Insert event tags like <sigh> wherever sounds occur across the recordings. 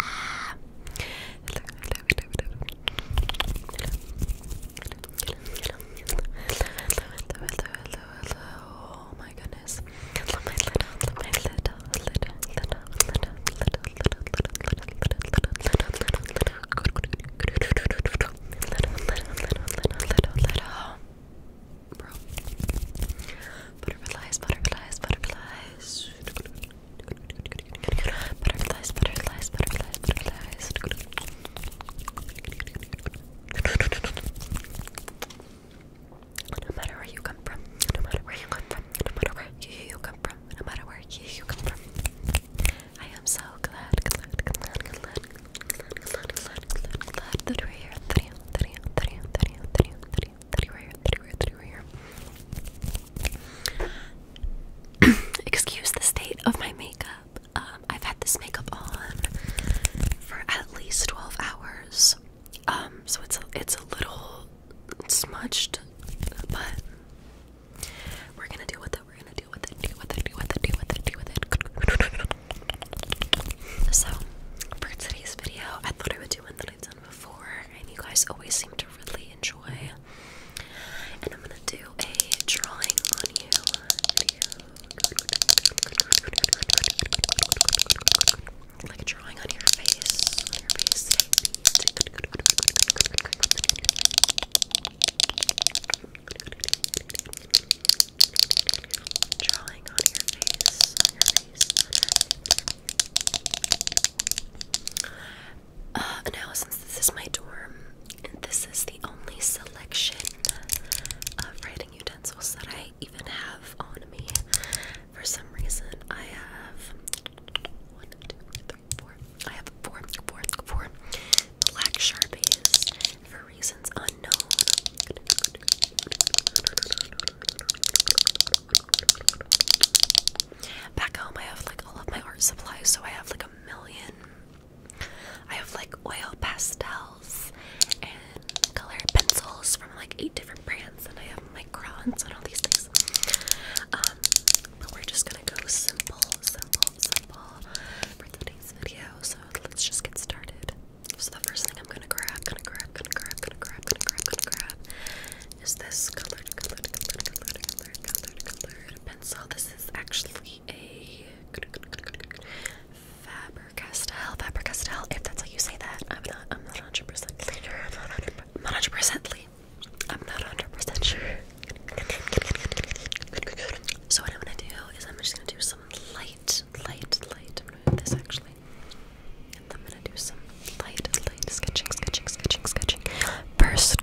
Ah. Hello, hello, hello, hello. Hello, hello, hello. Hello, hello, hello, hello. Oh my goodness. Hello, my little, my little, little, little, little, little, little, little, little, little, little. Little, little, little, little, little, little, bro. Butterflies, butterflies, butterflies. Butterflies, butterflies, butterflies, butterflies. No matter where you come from, no matter where you come from, no matter where you come from, no matter where you come from. I am so glad, glad, glad, glad, glad, glad, glad, glad, glad, glad that we're here. Three, three, three, three, three, three. Teddy here, Teddy here, Teddy here. <coughs> Excuse the state of my makeup. Um, I've had this makeup on for at least 12 hours. Um, so it's a, it's a little smudged, but we're gonna deal with it. We're gonna deal with it. Deal with it. Deal with it. Deal with it. Deal with it. <laughs> So for today's video, I thought I would do an before, and you guys always seem to really enjoy. And I'm gonna do a drawing on you video. Like drawing on your face, Drawing on your face. Uh, now, since this is my dorm, and this is the only selection of writing utensils that I even have on me, for some reason, I have one, two, three, four. I have four, four, four black sharpies for reasons unknown. Back home, I have like all of my art supplies, so I have like a million. I have like oil pastels and colored pencils from like eight different brands, and I have microns and all these things. Um, but we're just gonna go simple, simple, simple for today's video. So let's just get started. So the first thing I'm gonna grab, gonna grab, gonna grab, gonna grab, gonna grab, gonna grab is this colored, colored, colored, colored, colored, colored, pencil. This is actually a Faber-Castell, Faber-Castell, if that's how you say that. I'm not, I'm not 100% cleaner. I'm not 100% clean. I'm not 100% sure. So what I'm gonna do is I'm just gonna do some light, light, light. I'm gonna do this actually. I'm gonna do some light, light sketching, sketching, sketching, sketching. First,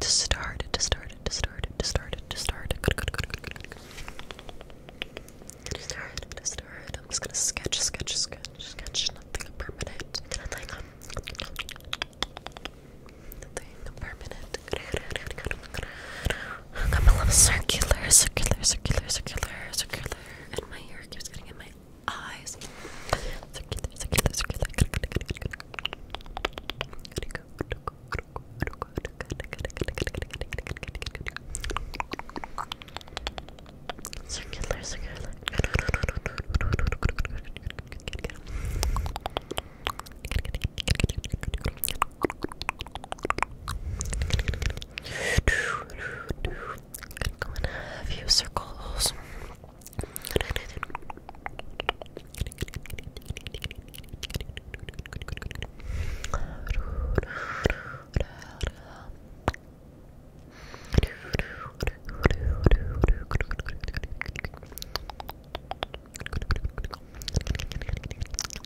to start, to start, to start, to start, to start. To start, to start. I'm just gonna sketch, sketch, sketch, sketch. Nothing permanent. Nothing permanent. A couple of circular, circular, circular, circular, circular, and my hair keeps getting in my eyes. Circular, circular, circular. Circular, circular. Circular, I'm gonna have you circle those.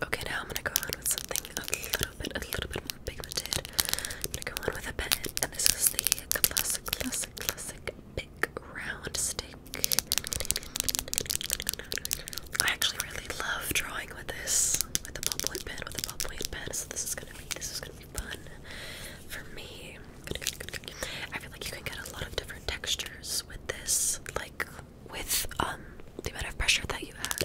Okay, now I'm gonna go on with something a little bit, a little bit more pigmented. gonna go on with a pen, and this is the classic, classic, classic big round stick I actually really love drawing with this, with a ballpoint pen, with a ballpoint pen. So this is gonna be this is gonna be fun for me. I feel like you can get a lot of different textures with this, like with um the amount of pressure that you add.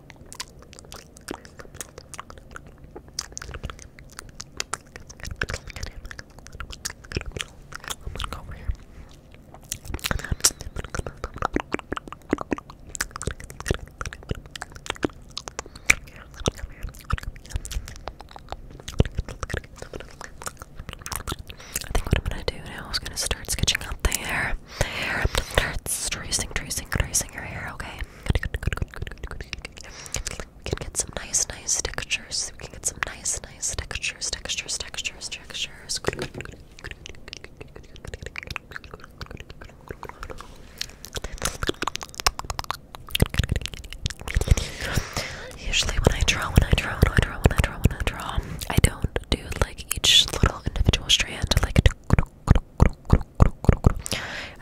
i think what I'm gonna do now is gonna start sketching out the hair. I'm going tracing, tracing, tracing your hair, okay? We can get some nice, nice textures. We can get some nice, nice textures, textures, textures, textures. Usually, when I draw, when I draw, when I draw, when I draw, when I draw, I don't do like each little individual strand. Like,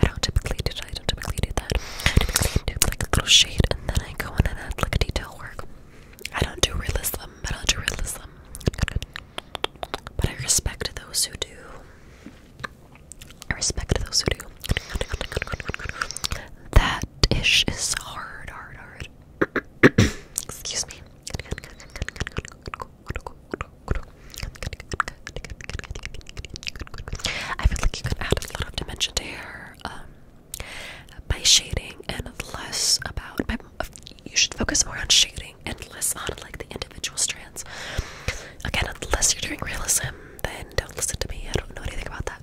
I don't typically do that. I don't typically do that. I do like a little shade and then I go in and add like detail work. I don't do realism. I don't do realism. But I respect those who do. I respect those who do. That ish is hard, hard, hard. <coughs> Excuse me. I feel like you could add a lot of dimension to hair um, by shading and less about. you should focus more on shading and less on like the individual strands. Again, unless you're doing realism, then don't listen to me. I don't know anything about that.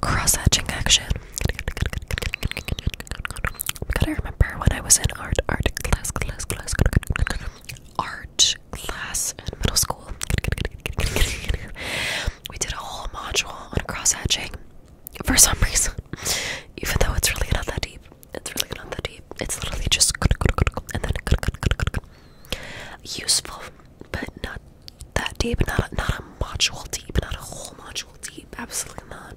Cross-hatching action. Gotta remember when I was in art, art class, class, class, art class in middle school. We did a whole module on cross-hatching, for some reason, <laughs> even though it's really not that deep, it's really not that deep. It's literally just and then useful, but not that deep. Not not a module deep, not a whole module deep. Absolutely not.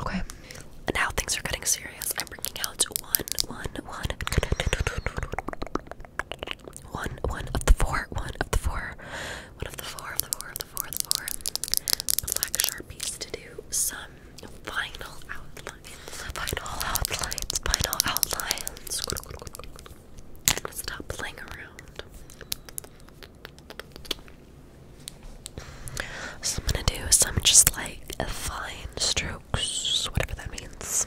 Okay, now things are getting serious. I'm bringing out one, one, one, one, one of the four, one of the four, one of the four, of the four, of the four, of the four black sharpies to do some final outline final outlines, final outlines. I'm gonna stop playing around. So I'm gonna do some just like fine strokes, whatever that means.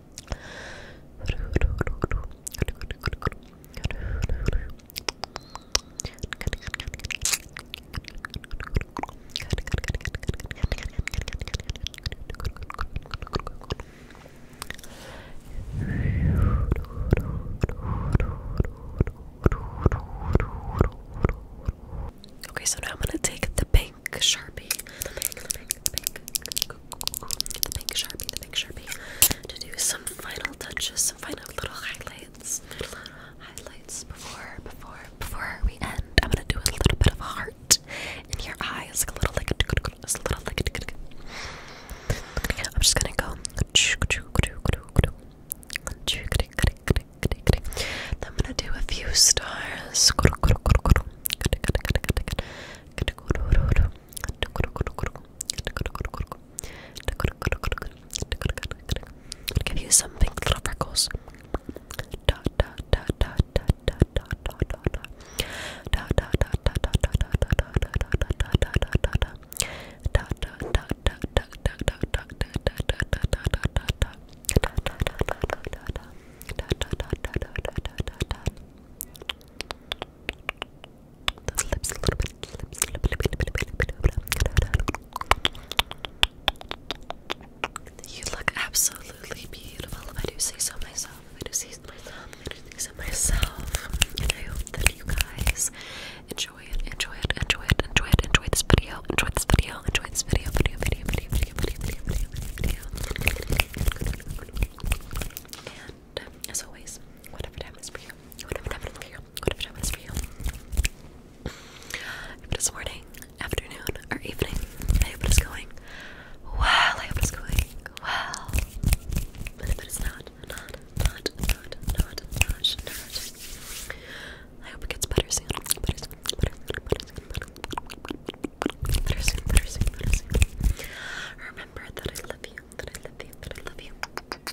Okay, so now I'm gonna take the pink Sharpie the pink sharpie, the pink sharpie, to do some final touches, some final little highlights, little highlights before, before, before we end. I'm gonna do a little bit of a heart in your eyes, like a little, like a little, like. I'm just gonna go. I'm gonna do a few stars. I'm Give you some pink little freckles. Those lips a little bit. Lips, lip, lip, lip, lip, lip, lip, lip. You look absolutely beautiful if I do say so myself. If I do say so myself, if I do say so myself. And I hope that you guys enjoy it, enjoy it, enjoy it, enjoy it, enjoy this video, enjoy this video, enjoy this video, video, video, video, video, video, video, video, video, video. Uh, as always, whatever time is for you, whatever time is for you, whatever time is for you. If it is morning, afternoon, or evening, I hope it is going well. I hope it is going well. But if it is not, not, not, not, not, not, not. I hope it gets better soon, better soon. Better soon, better soon, better soon remember that I love you, that I love you, that I love you, that I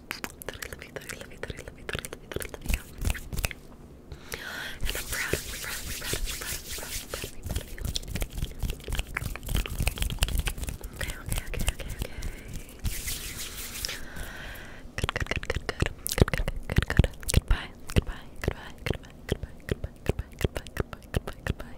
love you, that I love you, that I love you, that I love you, that I love you. And I'm proud of you, proud of you, proud of you, proud of you, proud of you, proud of you. Okay, okay, okay, okay, okay. Good, good, good, good, good, good, good, good, good. Goodbye, goodbye, goodbye, goodbye, goodbye, goodbye, goodbye, goodbye, goodbye, goodbye, goodbye.